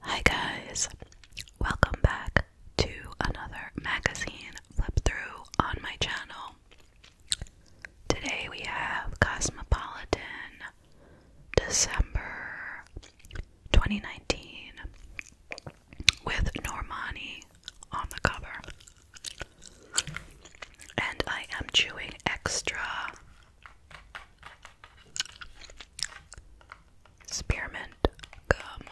Hi guys, welcome back to another magazine flip through on my channel. Today we have Cosmopolitan December 2019 with Normani on the cover. And I am chewing extra spearmint gum.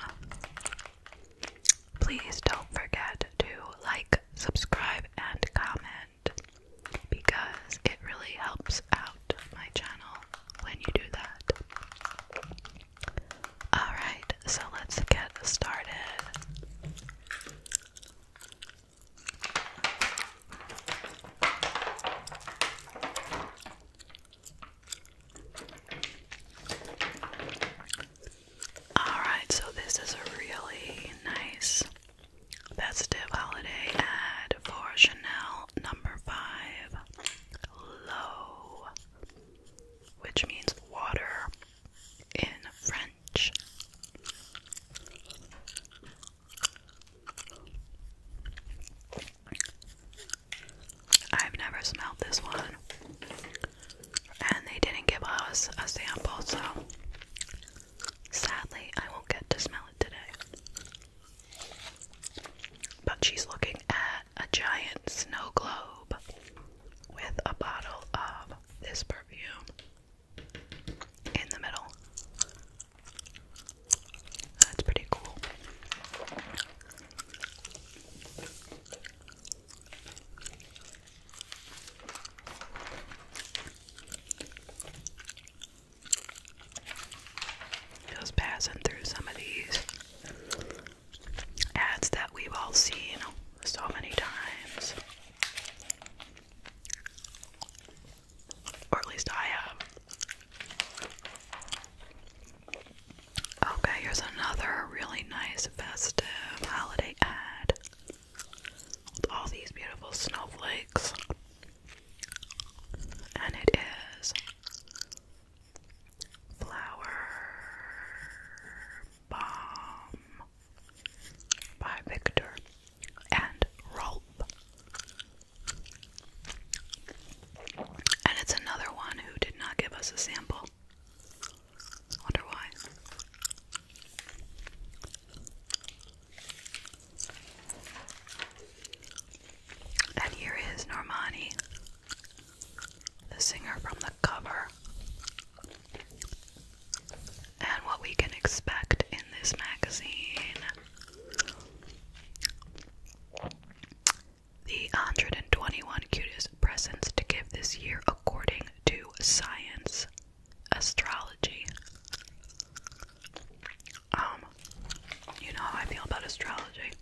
Please don't forget to like, subscribe, and comment because it really helps out my channel when you do that. Alright, so let's get started. Alright, so this is a really nice festive holiday ad for Chanel number five low, which means water in French. I've never smelled this one, and they didn't give us a sample, so sadly, I won't get to smell it today. But she's looking at a giant snow globe with a bottle of this perfume in the middle. That's pretty cool. Just passing through some of these ads that we've all seen so many times. Or at least I have. Okay, here's another really nice festive holiday ad with all these beautiful snowflakes. And it is flower Bomb by Victor and Rolp. And it's another one who did not give us a sample. Wonder why. And here is Normani the singer from the cover, and what we can expect in this magazine. The 121 cutest presents to give this year according to science, astrology. Um, you know how I feel about astrology.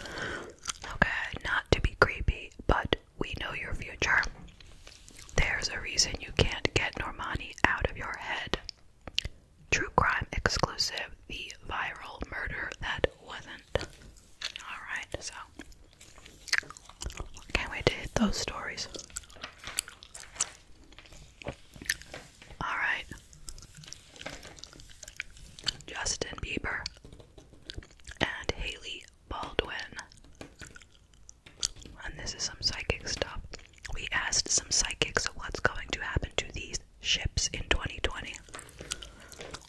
Okay, not to be creepy, but we know your future. There's a reason you can't get Normani out of your head. True crime exclusive, the viral murder that wasn't. Alright, so can't wait to hit those stories. Alright. Justin Bieber and Haley Baldwin. And this is some psychic stuff. We asked some psychics what's going to happen to these ships in 2020.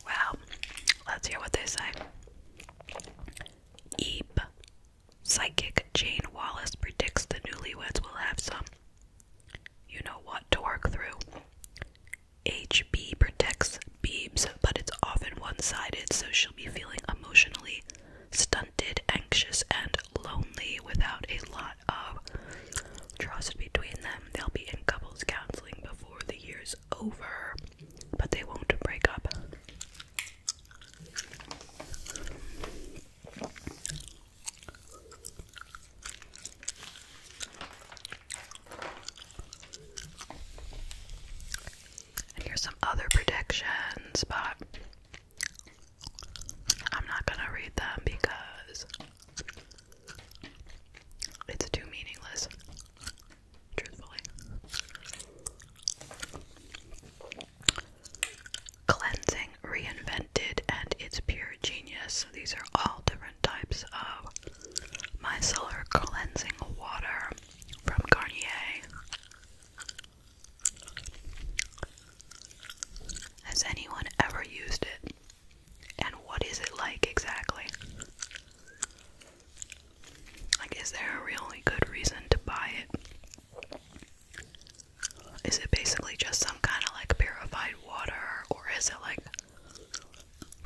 Wow, let's hear what they say. Eep. Psychic Jane Wallace predicts the newlyweds will have some. You know what to work through. HB protects Beebs, but it's often one sided, so she'll be feeling emotionally stunted, anxious, and lonely without a lot of trust between them. They'll be in couples counseling before the year's over, but they won't break up. And here's some other predictions, but I'm not gonna read them because it's too meaningless, truthfully. Cleansing, reinvented, and its pure genius. These are all different types of micellar cleansing water from Garnier. Has anyone ever used it? And what is it like exactly? Like, is there a really good reason to buy it? Is it basically just some kind of like purified water, or is it like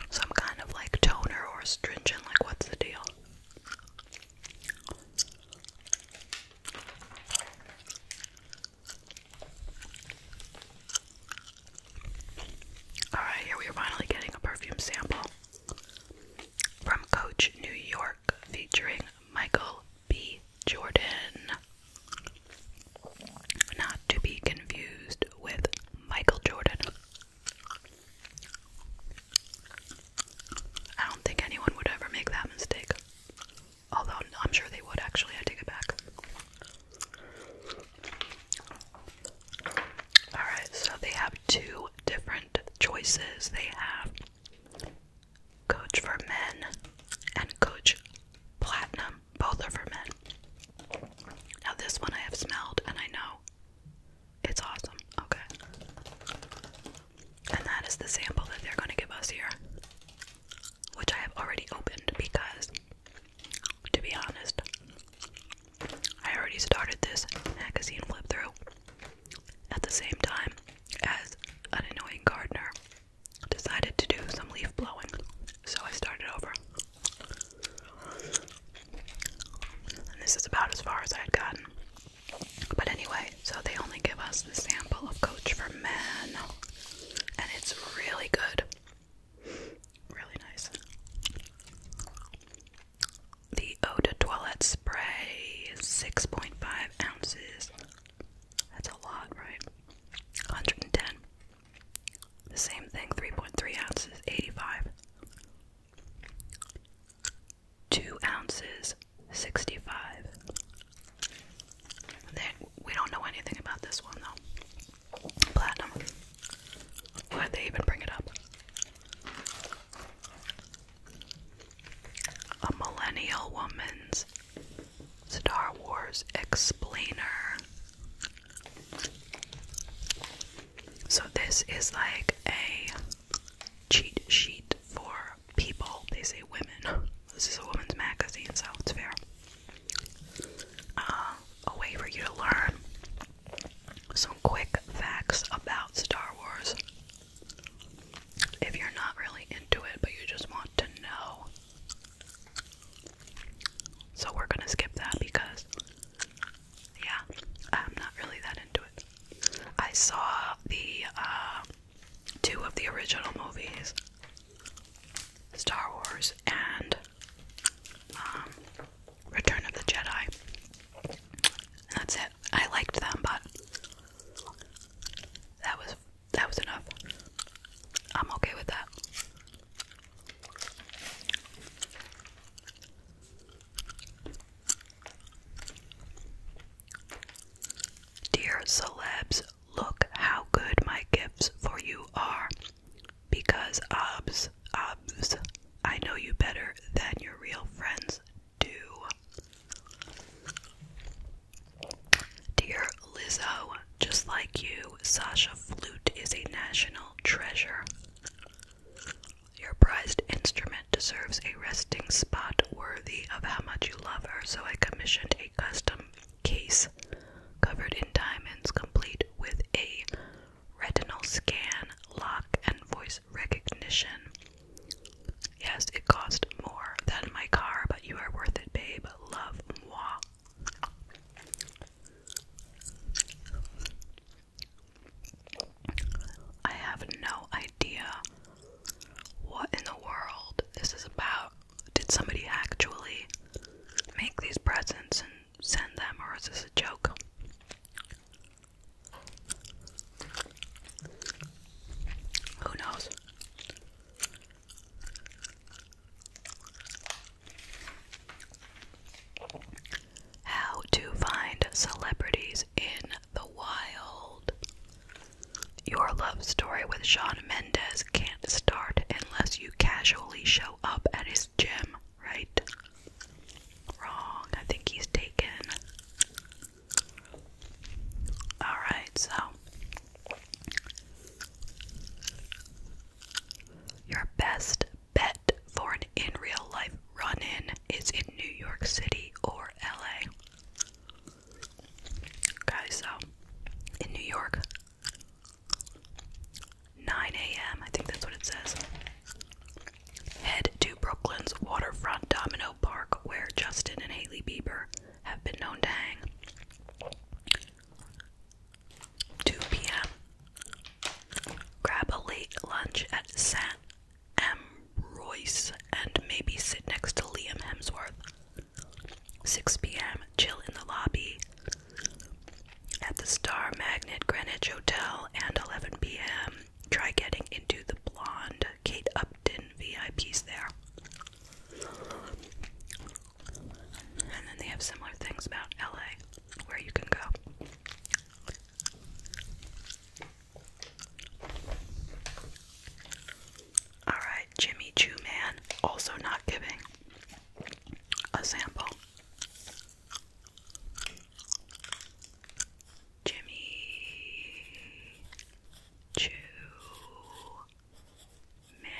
some kind of like toner or astringent, like what's the deal? Alright, here we are finally getting a perfume sample from Coach New York featuring Michael B. Jordan. Not to be confused with Michael Jordan, I don't think anyone would ever make that mistake. Although I'm sure they would actually, I take it back. Alright, so they have two different choices. They have Coach for Men and Coach Platinum. Both are for men. Now, this one I have smelled and I know it's awesome. Okay. And that is the sample that they're going to give us here, which I have already opened because, to be honest, I already started this magazine flip through at the same time as an annoying gardener decided to do some leaf blowing. So I started over. And this is about as far as I had gotten. But anyway, so they only give us the sample of Coach for Men. And it's really good. Really nice. The Eau Toilet Spray is 6.5 ounces. That's a lot, right? 110. The same thing, 3.3 ounces, 85. 2 ounces, 65. we don't know anything about this one though. Platinum. Why'd they even bring it up? A millennial woman's Star Wars explainer. So, this is like a cheat sheet for people. They say women. This is a woman's magazine, so it's fair. Uh, a way for you to learn some quick facts about Star Wars. If you're not really into it, but you just want to know. So, we're gonna skip that because yeah, I'm not really that into it. I saw the um, two of the original movies, Star Wars and um, Return of the Jedi. And that's it. I liked them, but that was that was enough. I'm okay with that. Dear celebs, look how good my gifts for you are. Because obs, obs, I know you better than your real friends do. Dear Lizzo, just like you, Sasha Flute is a national treasure. Your prized instrument deserves a resting spot worthy of how much you love her, so I commissioned a custom case covered in diamonds, complete with a retinal scan, lock, and voice recognition. Yes, it cost more than my car, but you are worth it, babe. Love moi. I have no idea what in the world this is about. Did somebody actually make these presents and send them, or is this a joke? Who knows? How to find celebrities in the wild. Your love story with Sean Mendes can't start unless you casually show up at his gym, right? Wrong. I think he's taken. Alright, so. Your best bet for an in real life run in is in New York City or LA. Okay, so in New York, 9 a.m., I think that's what it says. Head to Brooklyn's waterfront domino park where Justin and Haley Bieber have been known to hang. 2 p.m. Grab a late lunch at St. M. Royce and maybe sit next to Liam Hemsworth. 6 p.m. Chill in the lobby at the Star Magnet Greenwich Hotel and 11 p.m. Try getting into the blonde Kate Upton VIPs there. And then they have similar things about LA where you can go. Alright, Jimmy Chew Man also not giving a sample. Jimmy Chew Man.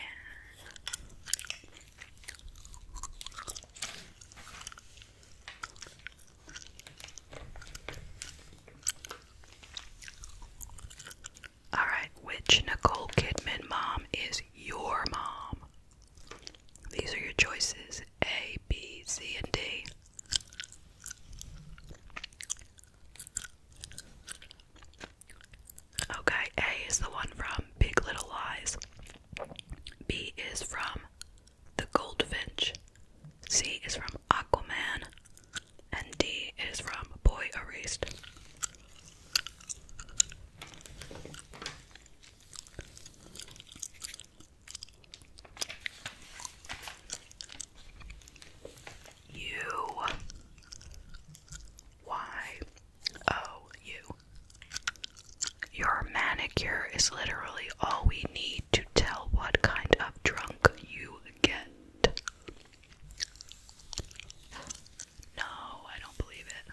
All right, which Nicole Kidman mom is your mom? These are your choices A, B, C, and D. Okay, A is the one from Big Little Lies. B is from The Goldfinch. C is from Aquaman. And D is from Boy Erased. U Y O U your manicure is literally all we need to tell what kind of drunk you get. No, I don't believe it.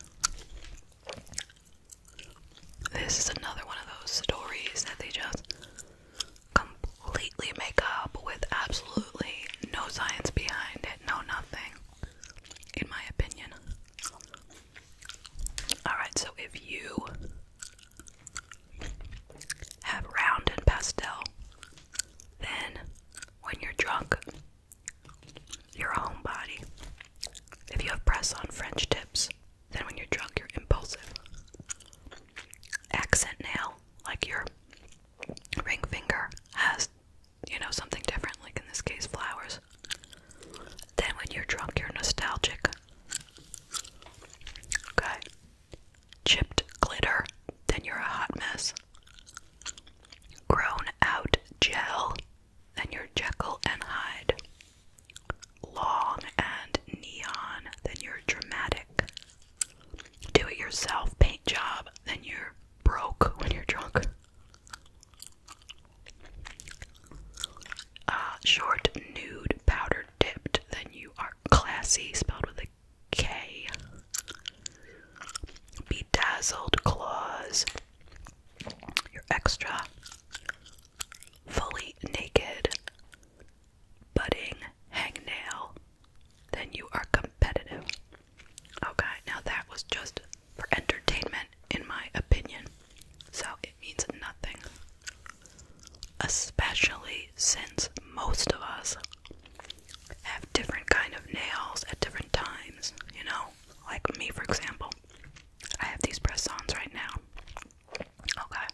This is another one of those stories that they just completely make up with absolutely no science behind it, no nothing, in my opinion. Alright, so if you have round and pastel, then when you're drunk, you're a homebody. If you have press on French tips, then when you're drunk, you're impulsive. Accent nail, like your ring finger, has, you know, something different, like in this case, flowers. Then, when you're drunk, you're nostalgic. Okay. Chipped glitter, then you're a hot mess. Grown out gel, then you're Jekyll and Hyde. Long and neon, then you're dramatic. Do it yourself paint job, then you're broke when you're drunk. Uh, short nude powder dipped. Then you are classy, spelled with a K. Bedazzled claws. You're extra. Fully naked. Budding hangnail. Then you are competitive. Okay, now that was just for entertainment, in my opinion. So it means nothing. Especially since most of us have different kind of nails at different times, you know? Like me, for example. I have these press-ons right now. Okay.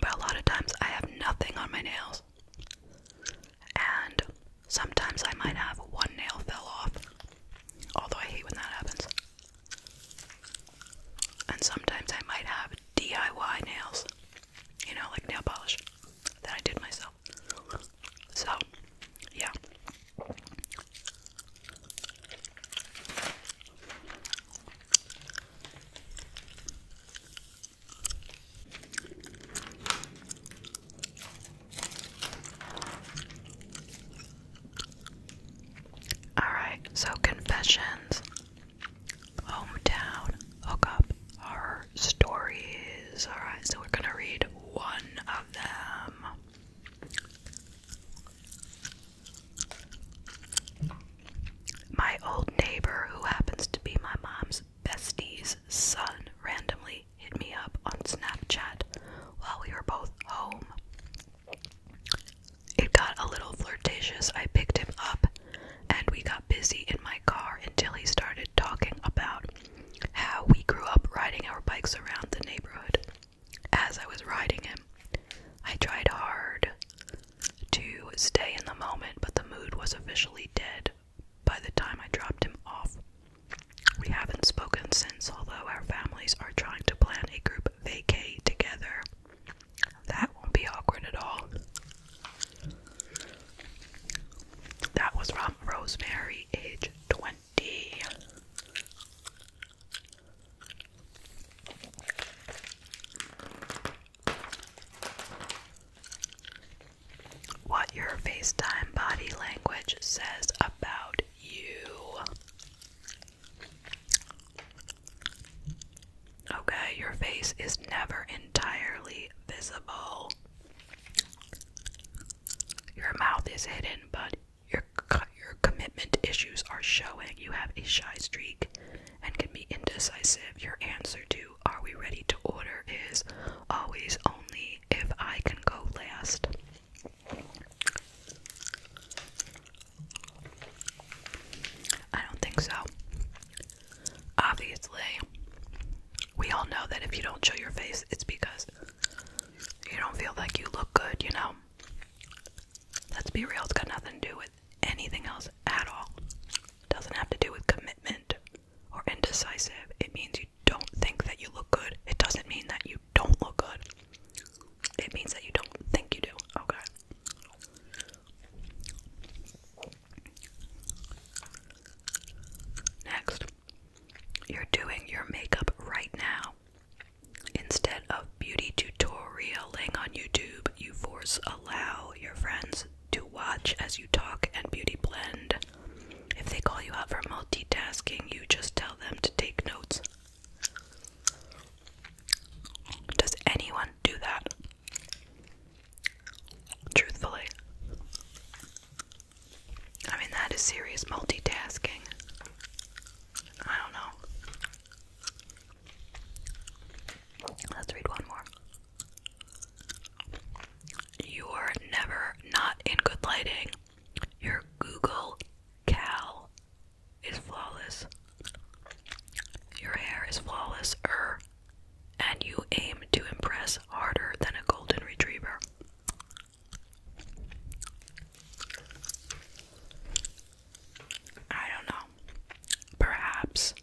But a lot of times I have nothing on my nails. And sometimes I might have one nail fell off. Although I hate when that happens. And sometimes I might have DIY nails, you know, like nail polish that I did myself. So, yeah. Alright, so confessions, hometown, hookup, horror stories. Alright, so we're gonna read one of them. My old neighbor, who happens to be my mom's bestie's son, randomly hit me up on Snapchat while we were both home. It got a little flirtatious. I picked him up and we got busy in my car until he started talking about how we grew up riding our bikes around the neighborhood. As I was riding him, I tried hard to stay in the moment, but the mood was officially dead by the time I dropped him off. We haven't spoken since, although our families are trying to plan a group vacay together. That won't be awkward at all. That was from Rosemary, age 20. What your FaceTime body language says about you. Okay, your face is never entirely visible. Your mouth is hidden, but your your commitment issues are showing. You have a shy streak and can be indecisive. Your answer to "Are we ready to order?" is always only if I can go last. I don't think so. Obviously, we all know that if you don't show your face, it's because you don't feel like you look good, you know? Let's be real, it's got nothing to do with anything else at all. It doesn't have to do with commitment or indecisive. It means you don't think that you look good. It doesn't mean that you don't look good, it means that you don't think you do. Okay. Next, you're doing your makeup right now. Instead of beauty tutorialing on YouTube, you force allow your friends to watch as you talk and beauty blend if they call you out for multitasking, you just tell them to take notes. Does anyone do that? Truthfully. I mean, that is serious multitasking. I don't know. Let's read one more. You're never not in good lighting. Your Google Cal is flawless. Your hair is flawless, er, and you aim to impress harder than a golden retriever. I don't know. Perhaps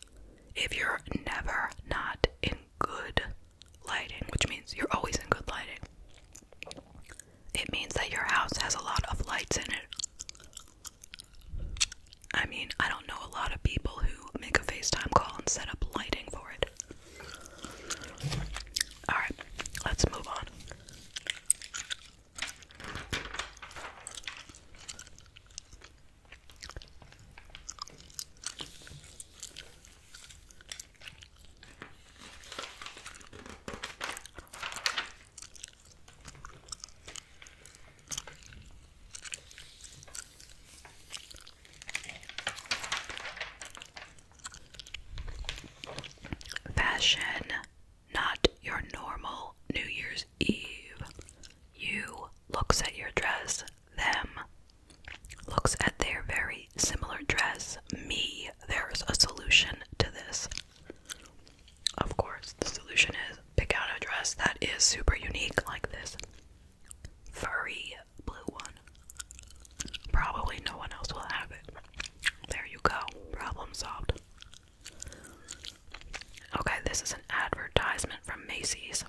if you're never not in good lighting, which means you're always in good lighting, it means that your house has a lot of lights in it. I mean, I don't know a lot of people who make a FaceTime call and set up lighting for it. Alright, let's move on. Fashion, not your normal New Year's Eve. You looks at your dress, them looks at their very similar dress, me there's a solution to this. Of course, the solution is pick out a dress that is super unique, like this furry blue one. Probably no one else will have it. There you go. Problem solved. Okay, this is an advertisement from Macy's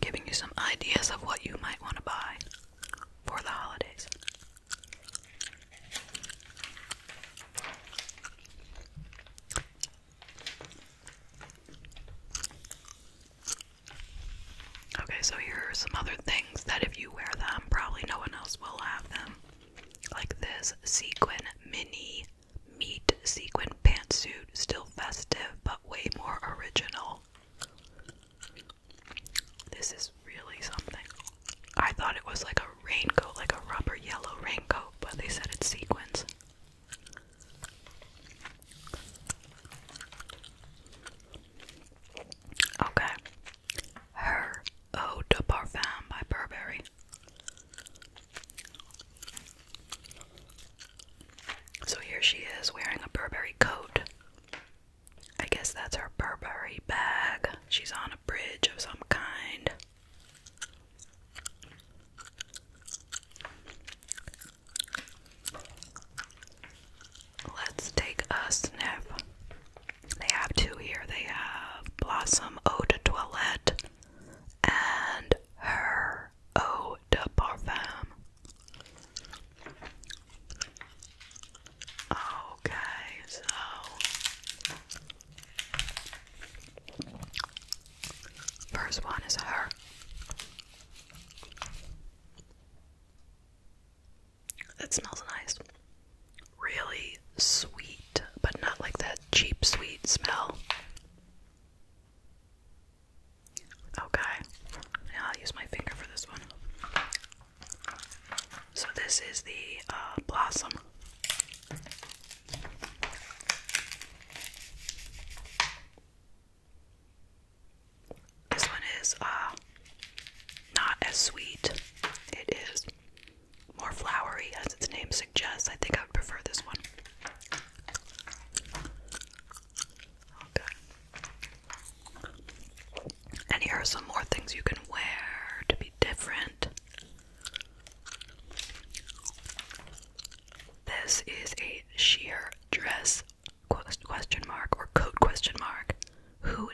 giving you some ideas of what you might want to buy for the holidays. Okay, so here are some other things that if you wear them, probably no one else will have them. Like this sequin mini meat sequin pantsuit, still festive but way more original. This is really something. I thought it was like a raincoat, like a rubber yellow raincoat, but they said it's sequins. Okay. Her Eau de Parfum by Burberry. So here she is wearing a Burberry coat I guess that's her Burberry bag. She's on a bridge of some kind. Let's take a sniff. They have two here. They have Blossom Eau de Toilette and her Eau de Parfum. Okay, so first one is her. That smells nice. Really sweet, but not like that cheap sweet smell. Okay, now I'll use my finger for this one. So this is the uh, blossom. This one is uh, not as sweet. It is more flowery, as its name suggests. I think I would prefer this one. And here are some more things you can wear to be different. This is a sheer dress question mark or code question mark. Who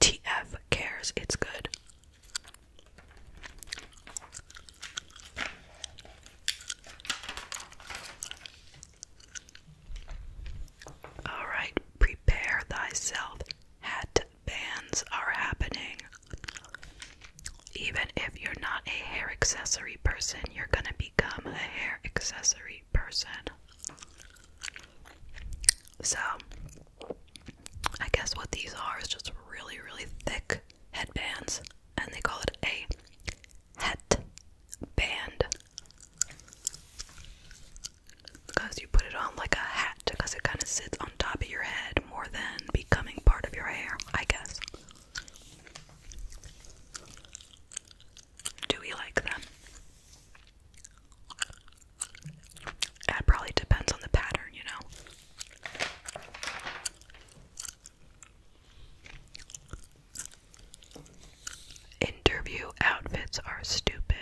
TF cares? It's good. All right, prepare thyself. Hat are happening. Even if you're not a hair accessory person, you're going to become a hair accessory person. So, I guess what these are is just really, really thick headbands, and they call it a het band. Because you put it on like a hat because it kind of sits on top of your head more than becoming part of your hair, I guess. Do we like them? That probably depends on the pattern, you know. Interview outfits are stupid.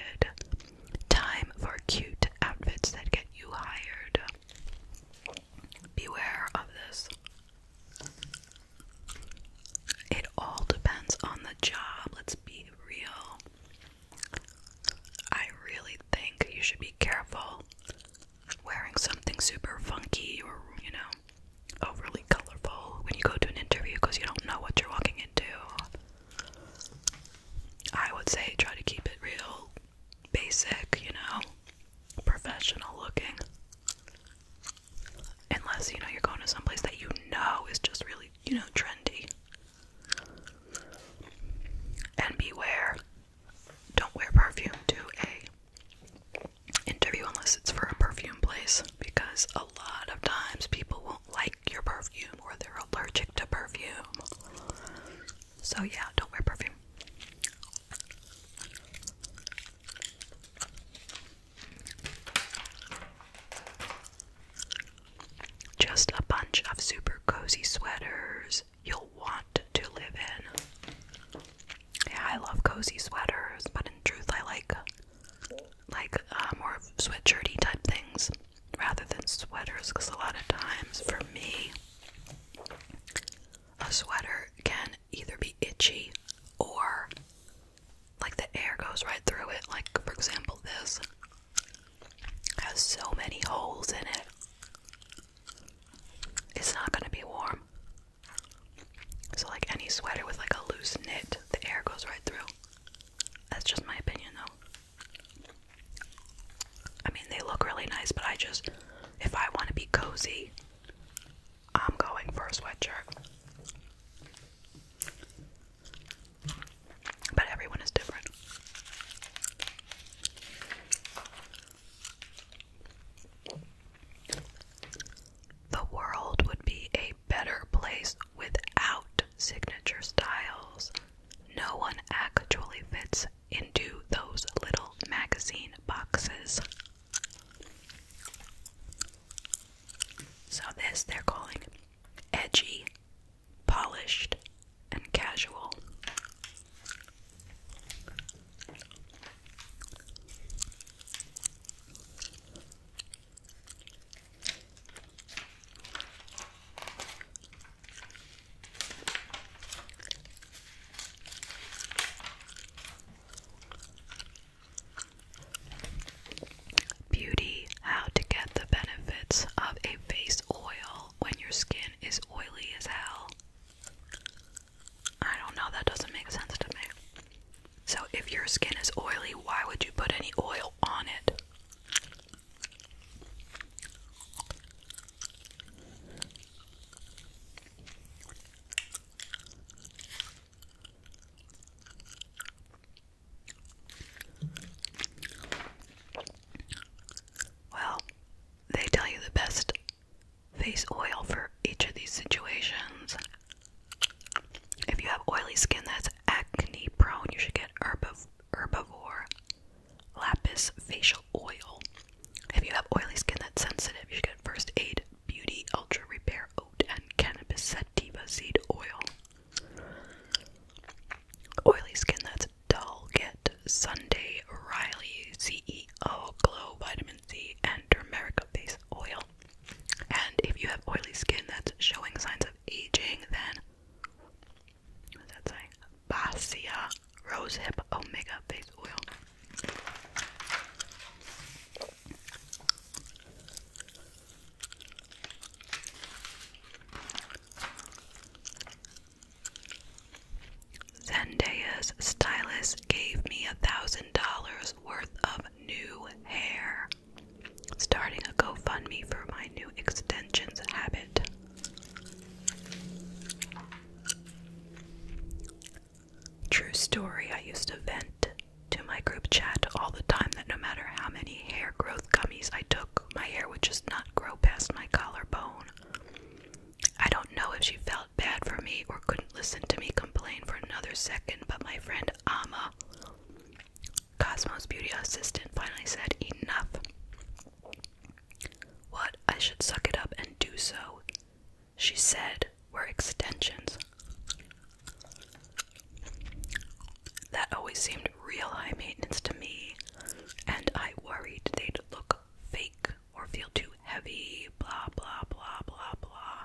Time for cute outfits that get you hired. Beware of this. It all depends on the job. Let's be real. I really think you should be careful wearing something super funky or, you know, overly oh, colorful when you go to an interview because you don't know what you're walking into. I would say try to keep it real basic, you know, professional looking. Unless, you know, you're going to some place that you know is just really, you know, trendy. And beware, don't wear perfume to a interview unless it's for a perfume place because a lot of times people won't like your perfume or they're allergic to perfume. So, yeah, don't wear perfume. Just a bunch of super cozy sweaters you'll want to live in. Yeah, I love cozy sweaters, but in truth, I like like uh, more sweatshirty type things rather than sweaters because a lot of times for me a sweater can either be itchy or like the air goes right through it like for example this has so many holes in it it's not going to be warm so like any sweater with like a loose knit the air goes right through that's just my opinion, though. I mean, they look really nice, but I just, if I want to be cozy, I'm going for a sweatshirt. But everyone is different the world would be a better place without signature styles. No one actually fits into those little magazine boxes. So, this they're calling edgy, polished, and casual. Beauty How to get the benefits of a face oil when your skin is oily as hell. I don't know, that doesn't make sense to me. So, if your skin is oily, why would you put any oil on it? Well, they tell you the best face oil for each of these situations. If you have oily skin that's acne prone, you should get herbivore lapis facial oil. If you have oily skin that's sensitive, you should get first aid beauty ultra repair oat and cannabis sativa seed oil. Oily skin that's dull, get Sunday Riley CEO Glow Vitamin C and Turmeric Base Oil. And if you have oily skin that's showing signs of aging, then what that say? Basia Rosehip Omega Face Oil. Zendaya's stylist gave me a thousand dollars worth of new hair more. Starting a GoFundMe for my new extensions habit. True story, I used to vent to my group chat all the time that no matter how many hair growth gummies I took, my hair would just not grow past my collarbone. I don't know if she felt bad for me or couldn't listen to me complain for another second, but my friend Amma Cosmo's beauty assistant finally said, Enough. What? I should suck it up and do so. She said, We're extensions. That always seemed real high maintenance to me, and I worried they'd look fake or feel too heavy, blah, blah, blah, blah, blah.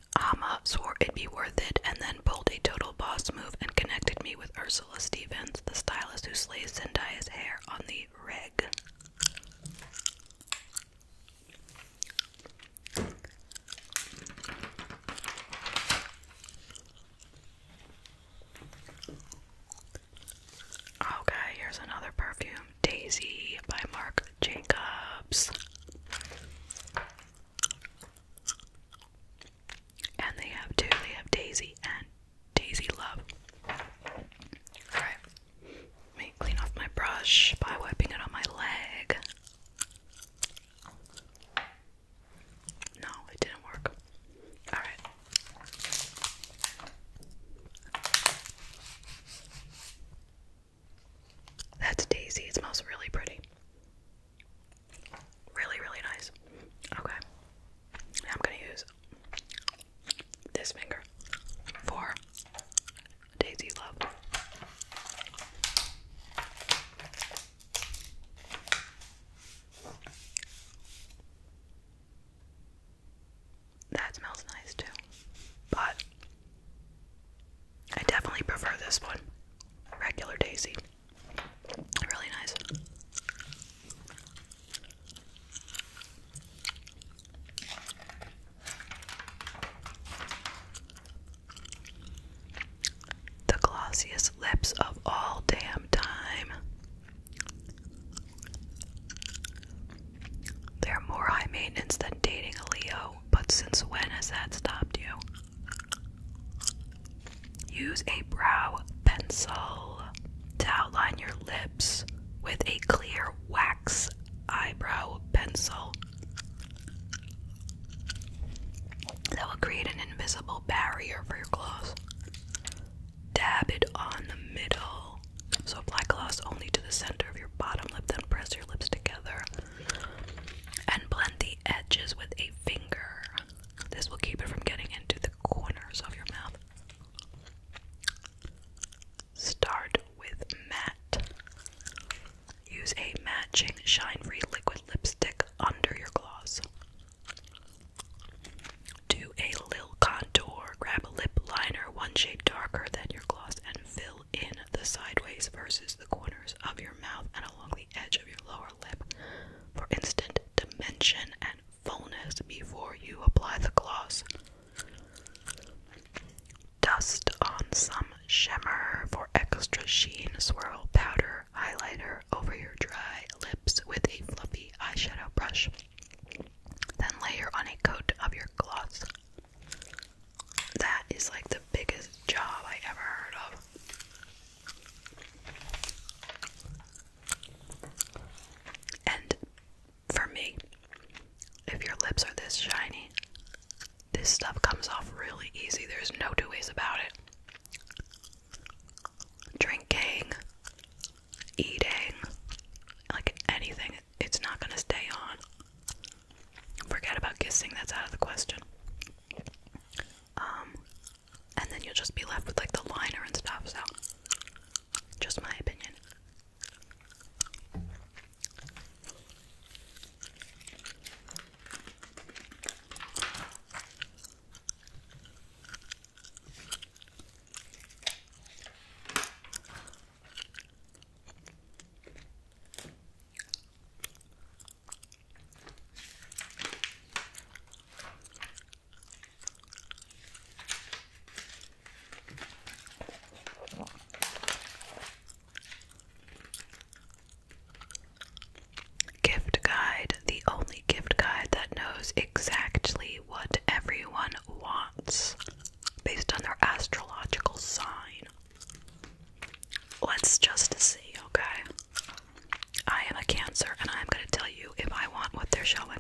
Ama swore it'd be worth it and then pulled a total boss move and connected me with Ursula Stevens, the stylist who slays Zendaya's hair on the rig. Okay, here's another perfume Daisy by Marc Jacobs. And they have two. They have Daisy and Daisy Love. Alright. Let me clean off my brush by wiping it on my leg. No, it didn't work. Alright. That's Daisy. It smells really pretty. Really, really nice. Okay. I'm going to use this finger for Daisy Love. That smells nice too. But I definitely prefer this one. Regular Daisy. Really nice. The glossiest lips of all damn time. They're more high maintenance than dating a Leo, but since when has that stopped you? Use a brow pencil to outline your lips with a clear wax eyebrow pencil that will create an invisible barrier for your gloss. Dab it on the middle. So apply gloss only to the center of your bottom lip, then press your lips together and blend the edges with a finger. This will keep it from getting into the corners of your mouth. Start with matte. Use a matching shine free liquid lipstick under your gloss. Do a lil contour. Grab a lip liner one shade darker than your gloss and fill in the sideways versus the corners of your mouth and along the edge of your lower lip for instant dimension and fullness before you apply the gloss. Dust on some shimmer for extra sheen, swirl powder, highlighter over your dry lips with a fluffy eyeshadow brush. Then layer on a coat of your gloss that is like the biggest job I ever heard of. And for me, if your lips are this shiny, this stuff comes off really easy. There's no two ways about it. Drinking, eating, like anything, it's not gonna stay on. Forget about kissing, that's out of the question. Um, and then you'll just be left with like the liner and stuff, so just my opinion. Gift guide, the only gift guide that knows exactly what everyone wants based on their astrological sign. Let's just see, okay? I am a Cancer and I'm going to tell you if I want what they're showing.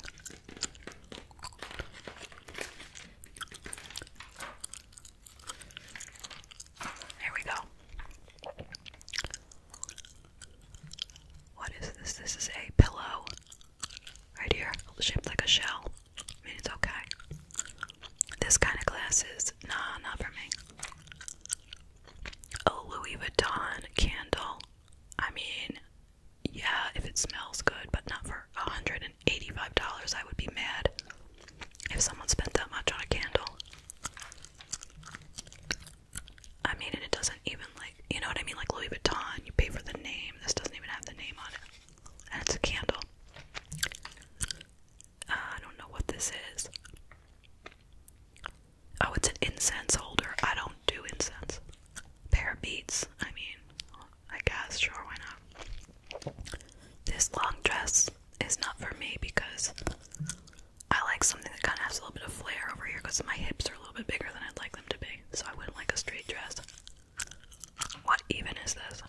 Here we go. What is this? This is a pillow right here, shaped like a shell. I mean, it's okay. This kind of glasses, nah, not for me. A Louis Vuitton candle. I mean, yeah, if it smells good, but not for $185. I would be mad if someone spent that much on a candle. I mean, and it doesn't even like, you know what I mean? Like Louis Vuitton, you pay for the name. This doesn't even have the name on it. And it's a candle. I don't know what this is. Oh, it's an incense holder. I don't do incense. Pair of beads. I mean, I guess, sure, why not? This long dress is not for me because I like something that kind of has a little bit of flair over here because my hips are a little bit bigger than I'd like them to be. So I wouldn't like a straight dress. What even is this?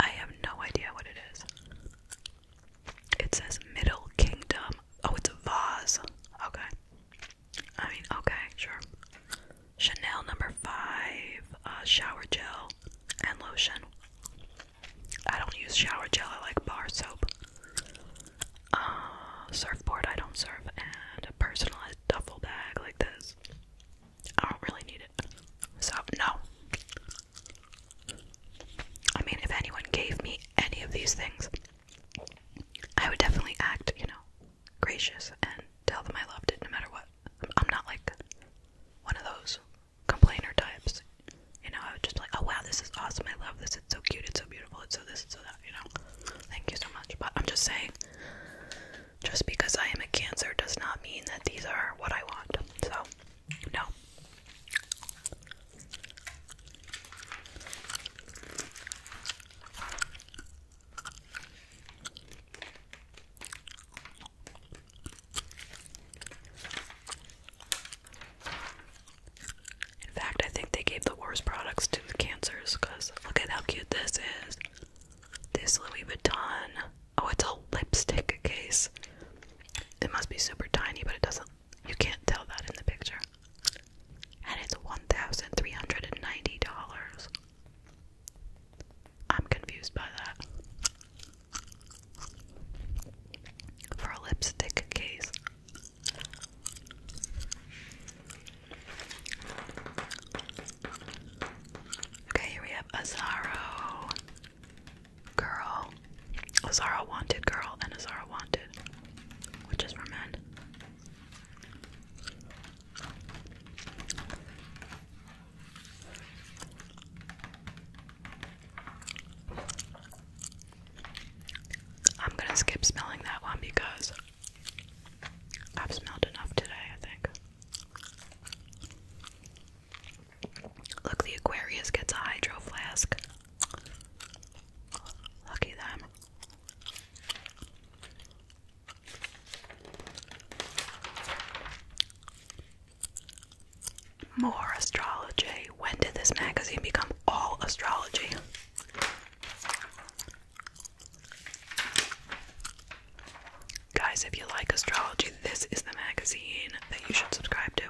I have no idea what it is. It says Middle Kingdom. Oh, it's a vase. Okay. I mean, okay, sure. Chanel number five uh, shower gel and lotion. I don't use shower gel, I like bar soap. Uh, surfboard, I don't surf, and personalized duffel bag like this. I don't really need it. So, no. I mean, if anyone gave me any of these things, I would definitely act, you know, gracious and tell them I loved it no matter what. I'm not like one of those complainer types. You know, I would just like, oh wow, this is awesome. I love this. It's so cute. It's so beautiful. It's so this. It's so that. You know, thank you so much. But I'm just saying, just because I am a Cancer does not mean that these are what I want. So, no. In fact, I think they gave the worst products to cancers because look at how cute this is. This Louis Vuitton. Oh, it's a lipstick case. It must be super tiny, but it doesn't. You can't tell that in the picture. And it's $1,390. I'm confused by that. For a lipstick case. Okay, here we have Azaro Girl. Azara Wanted Girl and Azara Wanted, which is for men. I'm gonna skip smelling that one because I've smelled enough today, I think. Look, the Aquarius gets a hydro flask. Lucky them. More astrology. When did this magazine become all astrology? Guys, if you like astrology, this is the magazine that you should subscribe to.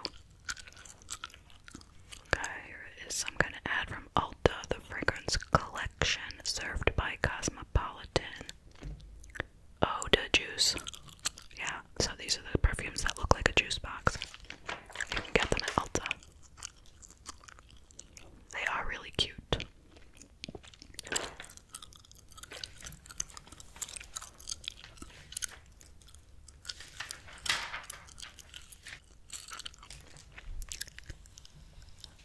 Okay, here is some kind of ad from Ulta, the fragrance collection served by Cosmopolitan. Oda juice. Yeah, so these are the perfumes that look like a juice box. You can get them at Ulta. They are really cute.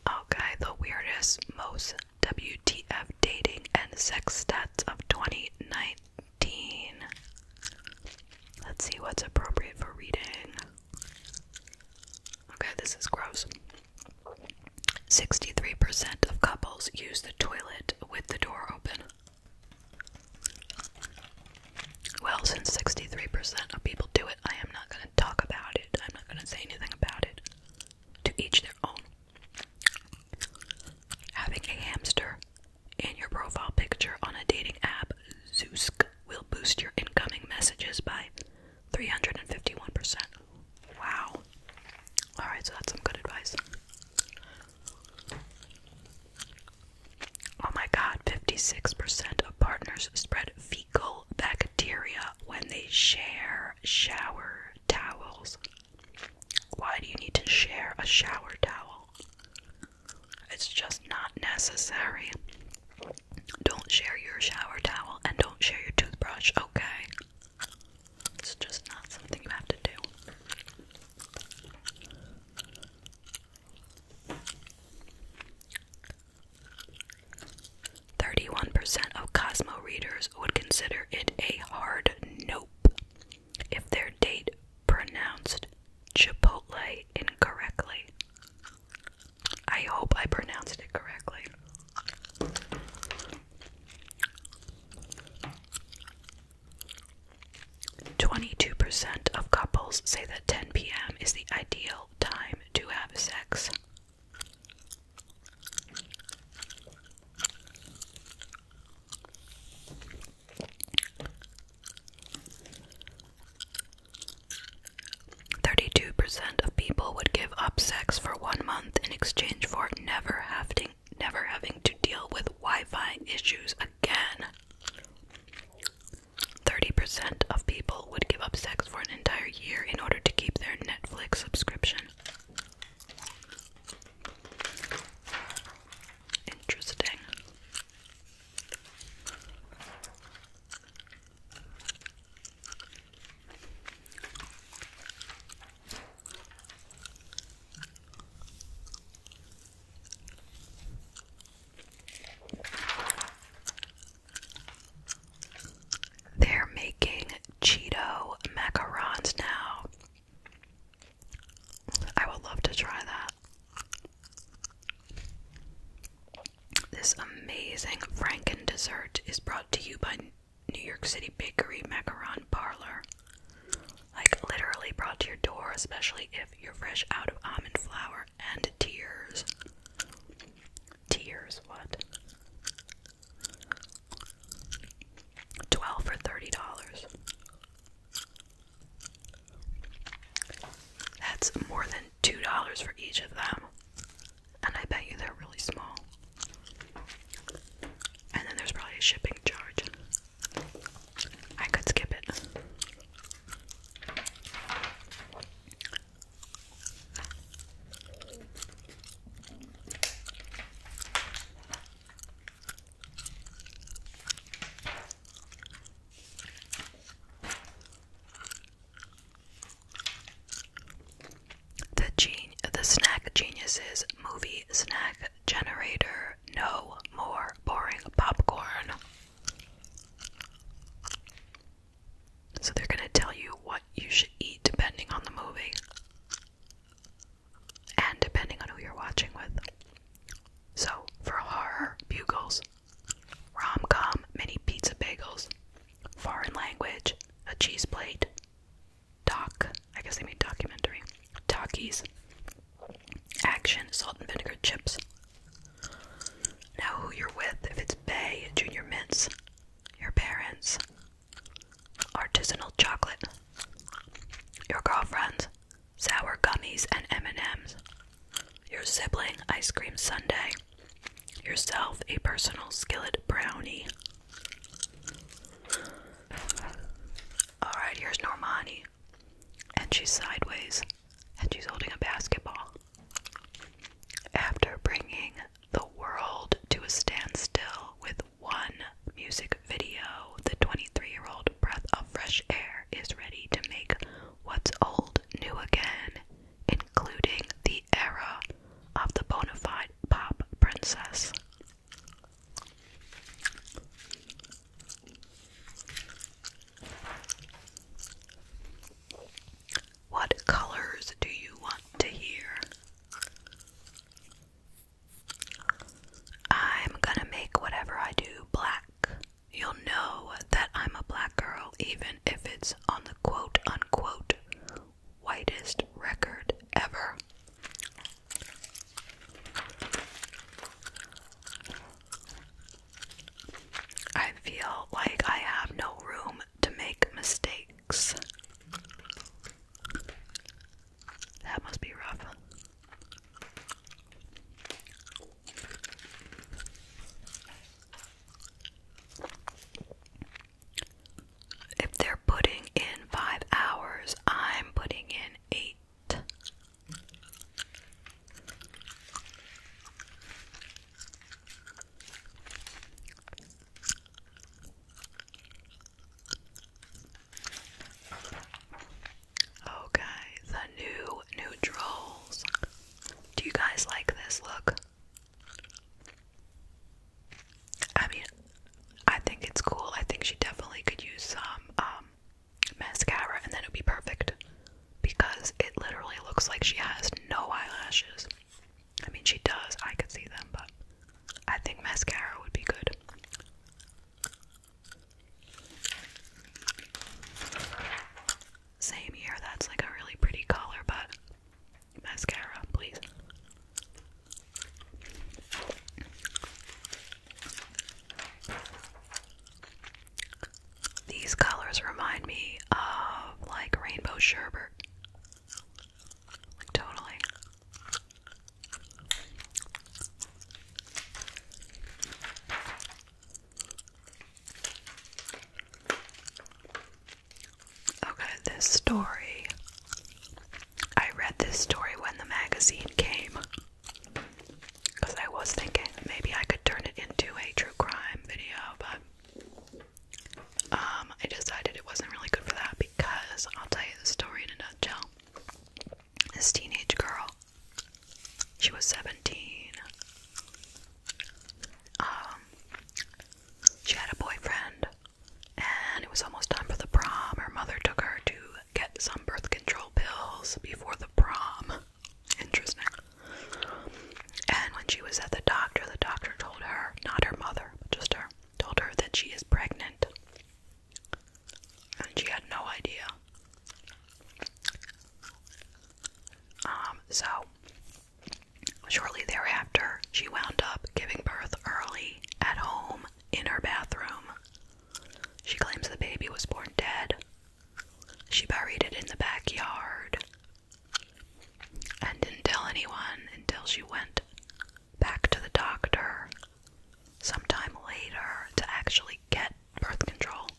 Okay, the weirdest, most WTF dating and sex stats of 2019. Let's see what's appropriate for reading. Okay, this is gross. 63% of couples use the toilet with the door open. Well, since 63% of people do it, I am not going to talk about it. I'm not going to say anything about it. To each their own. Having a hamster in your profile picture on a dating app, Zeusk, will boost your incoming messages by 351%. Wow. Alright, so that's some good advice. Oh my god, 56% of partners spread fecal bacteria when they share shower towels. Why do you need to share a shower towel? It's just not necessary. Don't share your shower towel and don't share your toothbrush, okay? It's just not something you have to do. 31% of Cosmo readers would consider it a hard nope if their date pronounced Chipotle incorrectly. I hope I pronounced it correctly. Twenty-two percent of couples say that ten p.m. is the ideal time to have sex. 32% of people would give up sex for one month in exchange for never having never having to deal with Wi-Fi issues again. 30% of people would give up sex for an entire year in order to keep their Netflix subscription. Interesting. They're making Cheeto macarons now. I would love to try that. This amazing Franken dessert is brought to you by New York City Bakery Macaron Parlor. Like literally brought to your door, especially if you're fresh out of almond flour and tears. Tears, what? 12 for $30. That's more than $2 for each of them and I bet you they're really small. And then there's probably a shipping charge. I could skip it. The gen the snack geniuses movie snack generator. No more boring popcorn. So they're gonna tell you what you should eat depending on the movie. And depending on who you're watching with. So for horror, bugles, Rom com, mini pizza bagels, foreign language, a cheese plate, doc, I guess they mean documentary, Talkies, action, salt and vinegar chips. Now, who you're with, if it's Bay, Junior Mints, your parents, artisanal chocolate, your girlfriends, sour gummies and M&Ms, your sibling, ice cream sundae, yourself a personal skillet brownie. Alright, here's Normani. And she's sideways, and she's holding a basketball. After bringing the world to a standstill with one music video, the 23 year old breath of fresh air is ready to make what's old new again including the era of the bona fide pop princess. What colors do you want to hear? I'm gonna make whatever I do black. You'll know that I'm a black girl even if it's on the quote unquote whitest record ever. I feel like I have no room to make mistakes. That must be rough. If they're putting in five hours, I'm putting in eight. Okay, the new neutrals. Do you guys like this look? I mean, I think it's cool. I think she definitely could use some um, mascara and then it would be perfect because it literally looks like she has no eyelashes. I mean, she does. I could see them, but I think mascara would be good. Same here. That's like a really pretty color, but mascara, please. These colors remind me of like rainbow sherbet. Like totally. Okay, this story. I read this story when the magazine came. Because I was thinking maybe I could turn it into a true crime video, but um, I decided it wasn't really good for that because I'll tell you the story in a nutshell. This teenage girl, she was 17. Um, she had a boyfriend, and it was almost time for the prom. Her mother took her to get some birth control pills before the prom. Interesting. And when she was at the doctor, the doctor told her, not her mother, but just her, told her that she is pregnant. And she had no idea. Um, so Shortly thereafter, she wound up giving birth early at home in her bathroom. She claims the baby was born dead. She buried it in the backyard and didn't tell anyone until she went back to the doctor sometime later to actually get birth control.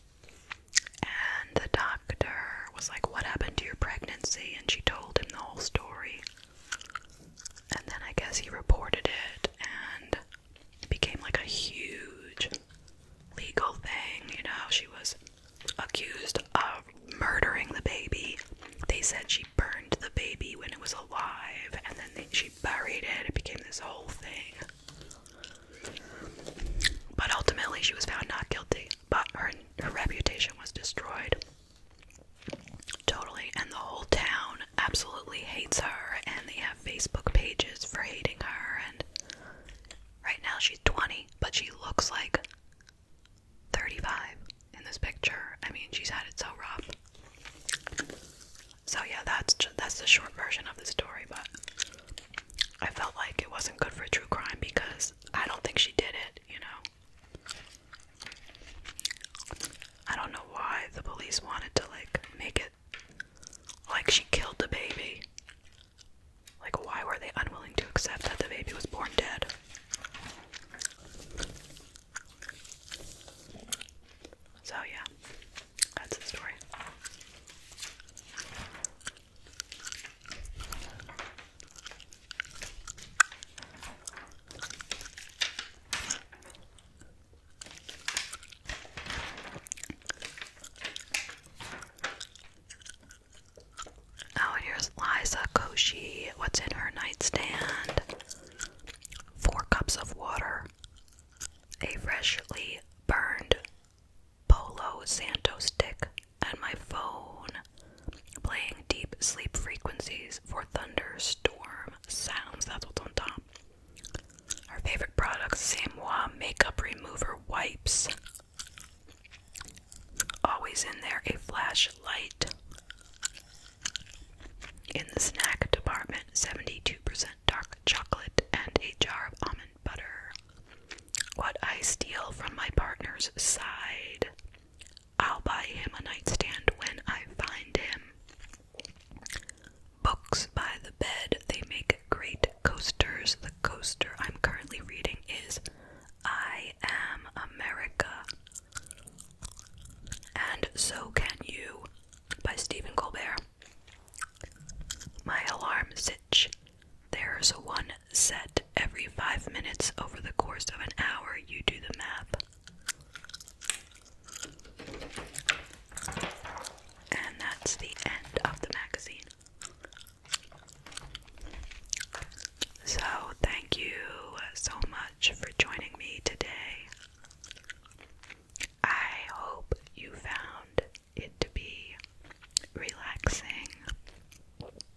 And the doctor was like, What happened to your pregnancy? And she told him the whole story. And then I guess he reported it and it became like a huge legal thing. You know, she was accused of murdering the baby. They said she burned the baby when it was alive and then she buried it. It became this whole thing. But ultimately, she was found not guilty. But her her reputation was destroyed. Totally. And the whole town absolutely hates her, and they have Facebook pages for hating her. And right now she's 20, but she looks like 35 in this picture. I mean, she's had it so rough. So yeah, that's that's the short version of the story, but I felt like it wasn't good for true crime because I don't think she did it, you know. I don't know why the police wanted to like make it like she killed the baby. Like, why were they unwilling to accept that the baby was born dead? So, yeah, that's the story. Oh, and here's Liza Koshi. What's in her nightstand? Four cups of water, a freshly burned Polo Santo stick, and my phone playing deep sleep frequencies for thunderstorm sounds. That's what's on top. Our favorite products Samoa Makeup Remover Wipes. Always in there, a flashlight. In the snack department, 72% dark chocolate and a jar of almond butter. What I steal from my partner's side, I'll buy him a nightstand when I find him. Books by the bed, they make great coasters. The coaster I'm currently reading is I Am America. And So Can You by Stephen Colbert. My alarm sitch there's one set every five minutes over the course of an hour. You do the math. And that's the end of the magazine. So, thank you so much for joining me today. I hope you found it to be relaxing